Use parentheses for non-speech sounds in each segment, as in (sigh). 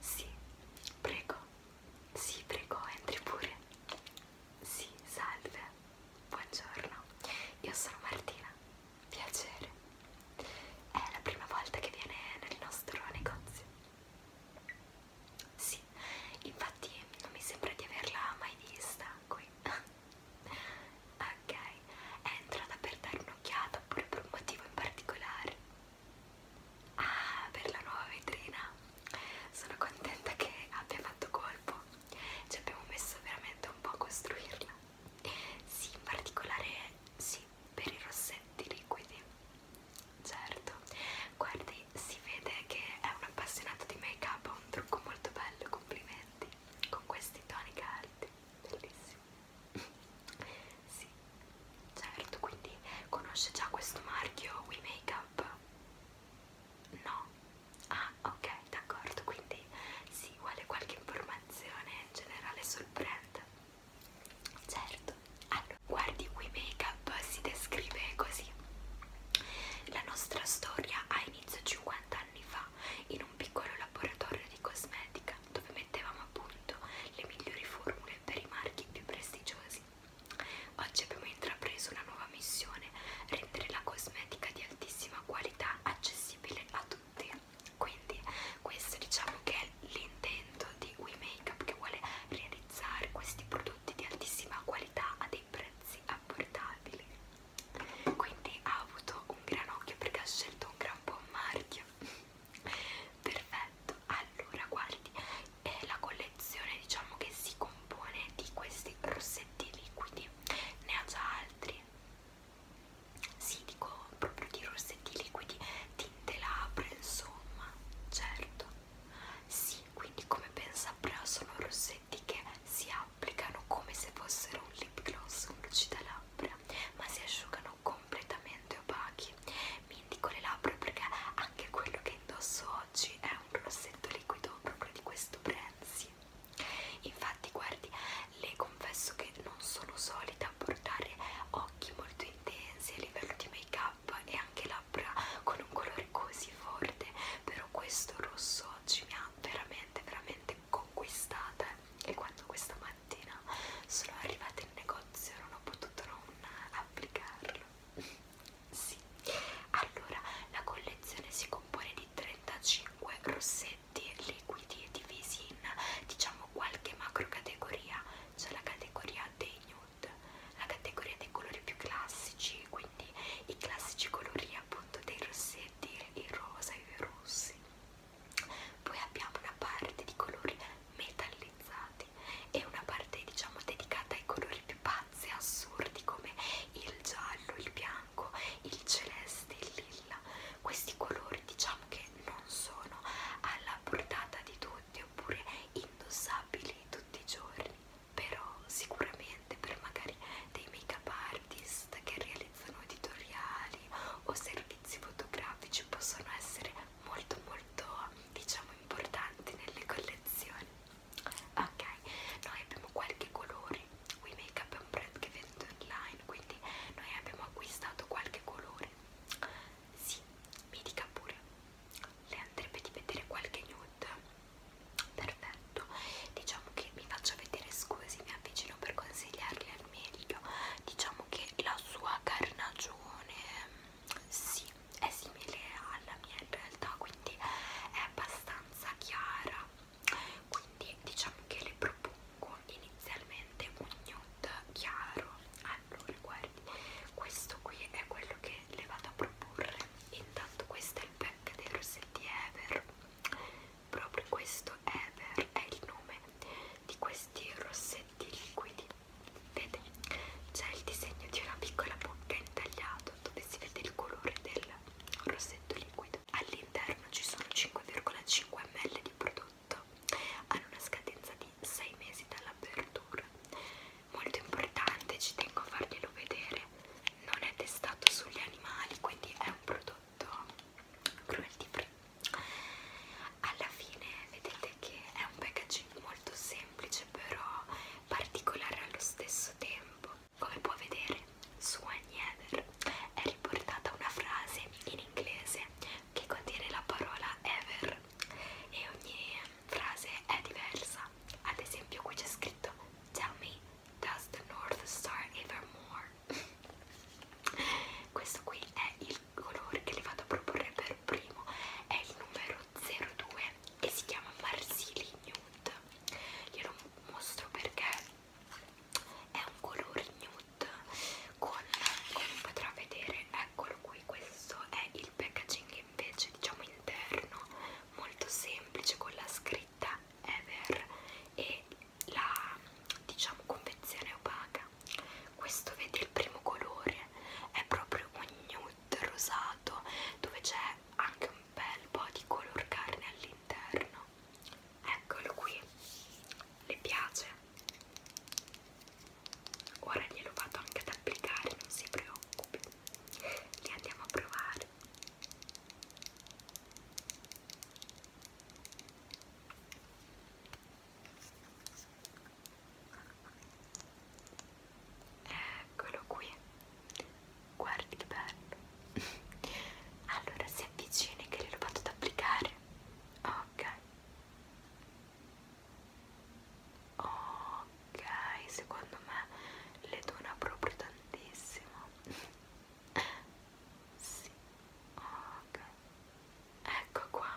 Sì, prego. Sì, prego, entri pure. Sì, salve. Buongiorno. Io sono Martina. Piacere. È la prima volta che viene nel nostro negozio. Sì, infatti non mi sembra di averla mai vista sta qui (laughs) ok è entrata per dare un'occhiata oppure per un motivo in particolare ah per la nuova vetrina sono contenta che abbia fatto colpo ci abbiamo messo veramente un po' a costruirla sì in particolare sì per i rossetti liquidi certo capito? Guardi, si vede che è un appassionato di make up, ha un trucco molto bello, complimenti, con questi toni caldi, bellissimi. (laughs) sì, certo, quindi conosce già questo marchio We Make Up? No? Ah, ok, d'accordo, quindi sì, vuole qualche informazione in generale sul brand? Certo, allora guardi We Make Up app si descrive così la nostra storia ha inizio 50 anni fa in un piccolo laboratorio di cosmetica dove mettevamo a punto le migliori formule per i marchi più prestigiosi oggi abbiamo intrapreso una nuova missione rendere la cosmetica di altissima qualità accessibile a tutti quindi questo diciamo che è l'intento di We Makeup che vuole realizzare questi prodotti prodotti di altissima qualità a dei prezzi abbordabili. Quindi ha avuto un gran occhio perché ha scelto un gran buon marchio. (laughs) Perfetto, allora guardi, è la collezione diciamo che si compone di questi rossetti liquidi, ne ha già altri. Sì, dico proprio di rossetti liquidi, tinte labbra, insomma, certo. Sì, quindi come ben saprà sono rossetti che si applicano come se fossero un lip gloss, un lucidalabbra, ma si asciugano completamente opachi. Mi indico le labbra perché anche quello che indosso oggi è un rossetto liquido proprio di questo Prenzi. Infatti, guardi, le confesso che non sono solita a portare occhi molto intensi a livello di make up e anche labbra labbra con un colore così forte però questo rosso oggi mi ha veramente veramente conquistata e quando questa mattina sono arrivata in negozio non ho potuto non applicarlo (laughs) sì allora la collezione si compone di 35 rossetti liquidi divisi in diciamo qualche macro categoria c'è la categoria dei nude nude la categoria dei colori più classici quindi i classici colori appunto dei rossetti il rosa e i rossi poi abbiamo una parte di colori metallizzati e una parte diciamo dedicata ai colori più pazzi e assurdi come il giallo, il bianco, il celeste, il lilla questi colori diciamo che non sono alla portata di tutti oppure in indossabili tutti i giorni però sicuramente per magari dei make up artist che realizzano editoriali o servizi fotografici possono essere molto molto diciamo importanti nelle collezioni ok noi abbiamo qualche colore We Make Up è un brand che vende online quindi noi abbiamo acquistato qualche colore sì mi dica pure le andrebbe di vedere qualche nude perfetto diciamo che mi faccio vedere scusi mi avvicino per consigliarle al meglio diciamo che la sua carnagione sì, è simile alla mia in realtà quindi è abbastanza chiara quindi diciamo che le propongo inizialmente un nude chiaro allora guardi particolari questo qui è quello che le vado a proporre intanto questo è il pack dei rossetti Ever proprio questo Ever è il nome di questi rossetti liquidi vede c'è il disegno di una piccola bocca intagliato dove si vede il colore del rossetto liquido all'interno ci sono 5,5 ml di prodotto prodotto hanno una scadenza di 6 mesi dall'apertura molto importante ci tengo a farglielo vedere non è testato sugli animali quindi è un prodotto cruelty free alla fine vedete che è un packaging molto semplice però particolare allo stesso tempo come puoi vedere su ogni ever è riportata una frase in inglese che contiene la parola ever e ogni frase è diversa. Ad esempio qui c'è scritto Tell me, does the North Star ever more? (laughs) Questo qui è il colore che le vado a proporre per primo, è il numero 02 e si chiama Marsili Nude. Glielo mostro perché è un colore nude nude con, come potrà vedere eccolo qui questo è il packaging invece diciamo interno molto semplice con la scritta ever e la diciamo confezione opaca questo vedi il primo colore è proprio un nude rosato dove c'è anche un bel po' di color carne all'interno eccolo qui le piace ora glielo vado anche ad applicare non si preoccupi li andiamo a provare eccolo qui guardi che bello (laughs) allora si avvicina che glielo vado ad applicare ok Ok, secondo me le dona proprio tantissimo. sì, ok. Ecco qua.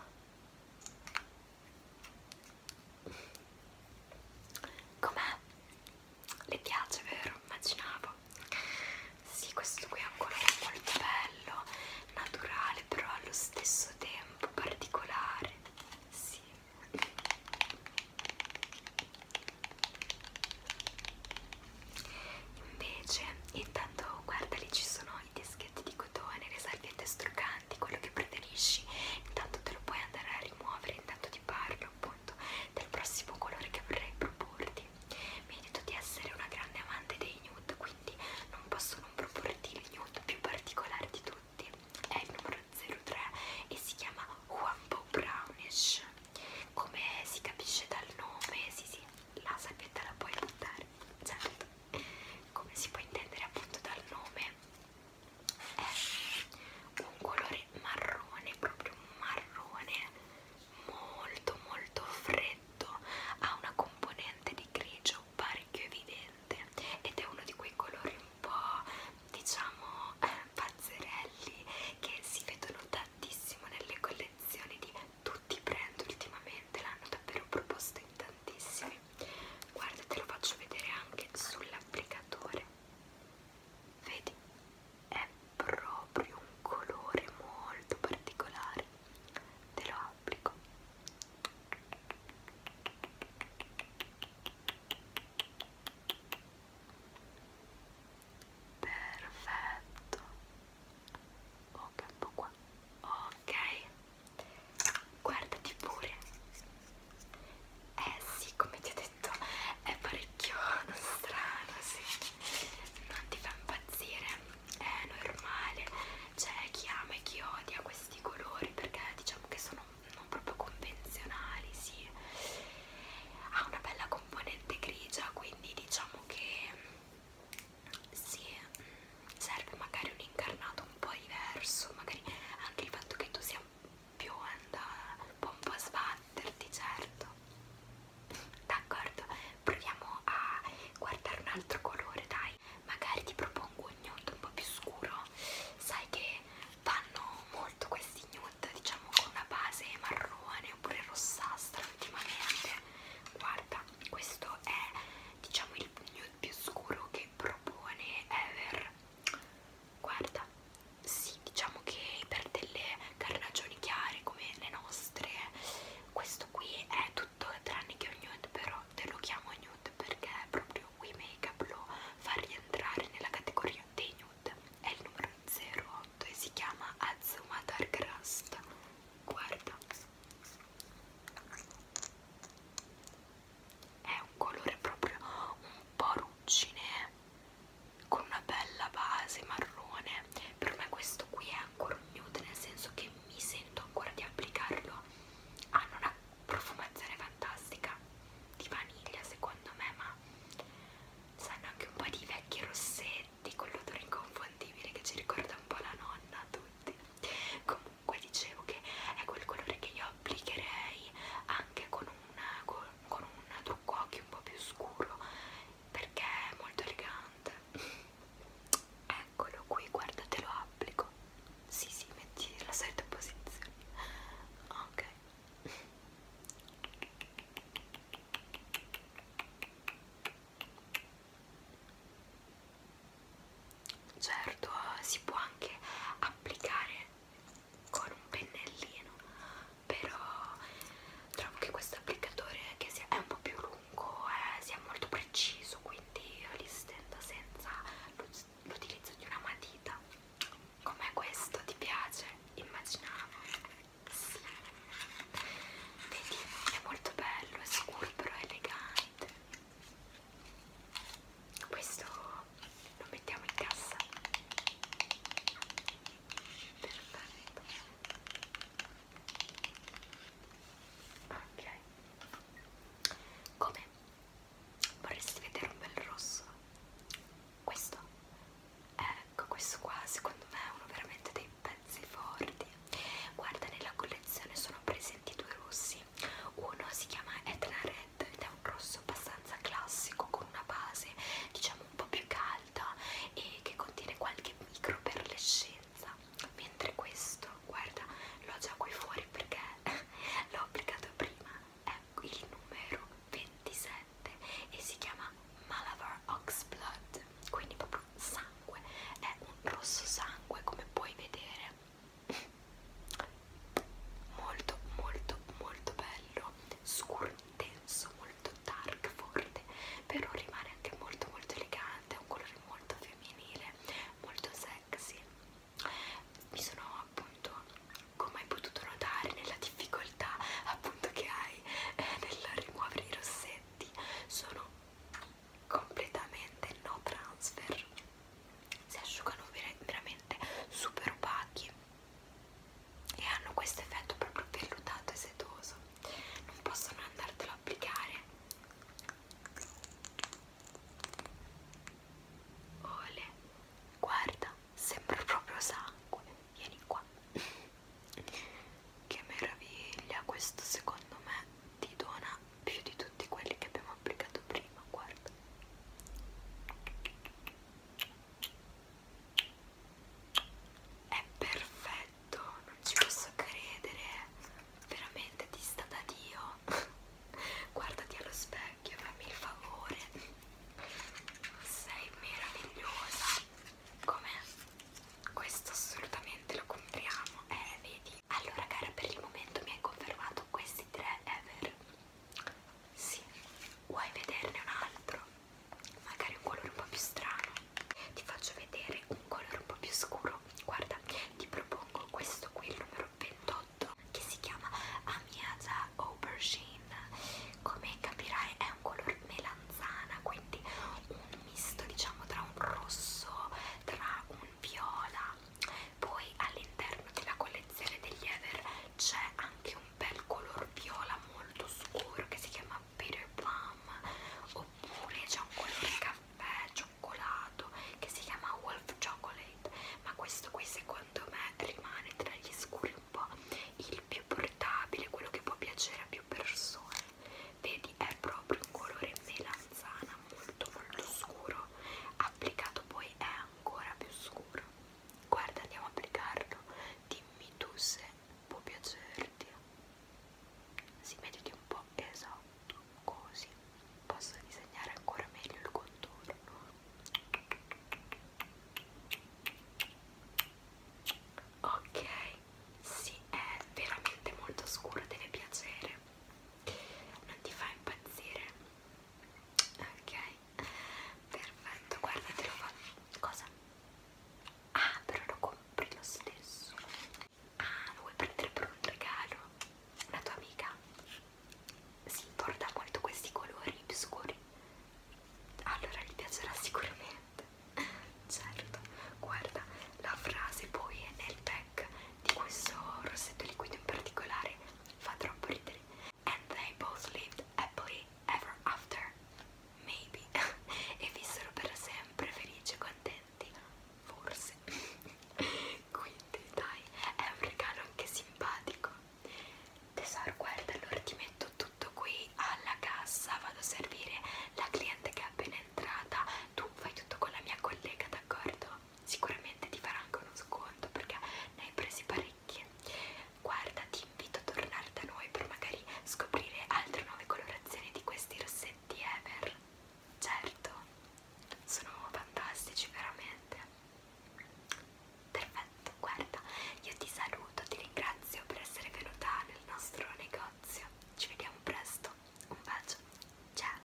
Com'è? Le piace, vero? Immaginavo. Sì, questo qui è un colore molto bello, naturale, però allo stesso tempo particolare. Sì. Invece, intanto guarda lì ci sono i dischetti di cotone, le salviette struccanti, quello che preferisci. Intanto te lo puoi andare a rimuovere, intanto ti parlo appunto del prossimo colore che vorrei proporti mi hai detto di essere una grande amante dei nude, quindi non posso non proporti il nude più particolare di tutti. È il numero 03 e si chiama Wambo Brownish. Come si capisce dal nome, sì sì, la salvietta la puoi buttare, certo. Come si può intendere appunto dal nome, è un colore marrone, proprio marrone, molto molto freddo violetto ha una componente di grigio parecchio evidente ed è uno di quei colori un po' diciamo eh, pazzerelli che si vedono tantissimo nelle collezioni di tutti i brand ultimamente l'hanno davvero proposto in tantissimi guarda te lo faccio vedere anche sull'applicatore vedi è proprio un colore molto particolare te lo applico perfetto ok un po' qua ok guardati pure eh sì come ti ho detto è parecchio orecchione strano, sì. Non ti fa impazzire, è normale. C'è chi ama e chi odia questi colori perché diciamo che sono non proprio convenzionali, sì. Ha una bella componente grigia, quindi diciamo che sì, serve magari un incarnato un po' diverso, magari anche il fatto che tu sia bionda, un po' a sbatterti, certo. D'accordo, proviamo a guardare un altro colore dai magari ti propongo un nude un po' più scuro sai che vanno molto questi nude diciamo con una base marrone oppure rossastra ultimamente guarda questo è diciamo il nude più scuro che propone ever guarda sì diciamo che per delle carnagioni chiare come le nostre questo qui è tutto tranne che un nude però te lo chiamo nude perché proprio We Makeup lo fa rientrare nella categoria dei nude è il numero 08 e si chiama Azuma Dark Rust guarda è un colore proprio un po' ruggine eh con una bella base marrone per me questo qui è ancora un nude nel senso che mi sento ancora di applicarlo ah, hanno una profumazione fantastica di vaniglia secondo me ma sanno anche un po' di vecchi rossetti con l'odore inconfondibile che ci ricorda un po' la nonna a tutti comunque dicevo che è quel colore che io applicherei anche con un, con, con un trucco occhi un po' più scuro perché è molto elegante eccolo qui guardate lo applico si sì, si sì, metti la solita posizione ok certo si può anche applicare con un pennellino però trovo che questo applicatore che sia, è un po' più lungo eh, sia molto preciso quindi io li stendo senza l'utilizzo di una matita come questo ti piace? immaginavo sì vedi è molto bello è scuro però elegante questo lo mettiamo in cassa perfetto ok come? vorresti vedere un bel rosso? questo? ecco questo qua secondo me è uno veramente dei pezzi forti guarda nella collezione sono presenti due rossi uno si chiama Etna Red palette ed è un rosso abbastanza classico con una base diciamo un po' più calda e che contiene qualche micro perlescenza mentre questo guarda l'ho già qui fuori perché (laughs) l'ho applicato prima è il numero 27 e si chiama Malabar Oxblood quindi proprio sangue è un rosso sangue come puoi vedere molto molto molto bello scuro intenso molto dark forte però rimane anche molto molto elegante un colore molto femminile molto sexy mi sono appunto come hai potuto notare nella difficoltà appunto che hai eh, nel rimuovere i rossetti sono completamente no transfer si asciugano veramente super opachi e hanno questo effetto proprio vellutato e setoso non possono andartelo a applicare ole guarda sembra proprio sangue vieni qua che meraviglia questo secondo me ti dona più di tutti quelli che abbiamo applicato prima guarda è perfetto, non ci posso credere. Veramente ti sta da Dio. (laughs) Guardati allo specchio, fammi il favore. Sei meravigliosa. Com'è? Questo assolutamente lo compriamo. Eh, vedi? Allora, cara, per il momento mi hai confermato questi tre ever. Sì, vuoi vederne un altro? Magari un colore un po' più strano. Ti faccio vedere un colore un po' più scuro. Guarda, ti propongo questo qui, il numero 28, che si chiama Amiasa Aubergine. Come capirai è un colore melanzana, quindi un misto diciamo tra un rosso, tra un viola, poi all'interno della collezione degli Ever c'è anche un bel color viola molto scuro che si chiama Peter Plum oppure c'è un colore caffè cioccolato che si chiama Wolf Chocolate ma questo qui secondo me rimane tra gli scuri un po' il più portabile quello che può piacere a più persone vedi è proprio un colore melanzana molto molto scuro applicato poi è eh, ancora più scuro guarda andiamo a applicarlo dimmi tu se può piacerti si mettiti un po' esatto così posso disegnare ancora meglio il contorno ok sì è veramente molto scuro deve piacere non ti fa impazzire ok perfetto guarda te lo faccio cosa? ah però lo compri lo stesso ah lo vuoi prendere per un regalo la tua amica si importa molto questi colori più scuri allora gli piacerà sicuramente certo guarda la frase poi è nel pack di questo rossetto liquido in particolare fa troppo ridere and they both lived happily ever after maybe (laughs) e vissero per sempre felici e contenti forse (laughs) quindi dai è un regalo anche simpatico tesoro guarda allora ti metto tutto qui alla cassa vado a servire la cliente che è appena entrata tu fai tutto con la mia collega d'accordo sicuramente ti farà anche uno sconto perché ne hai presi parecchie guarda ti invito a tornare da noi per magari scoprire altre nuove colorazioni di questi rossetti ever certo sono fantastici veramente perfetto guarda io ti saluto ti ringrazio per essere venuta nel nostro negozio ci vediamo presto un bacio ciao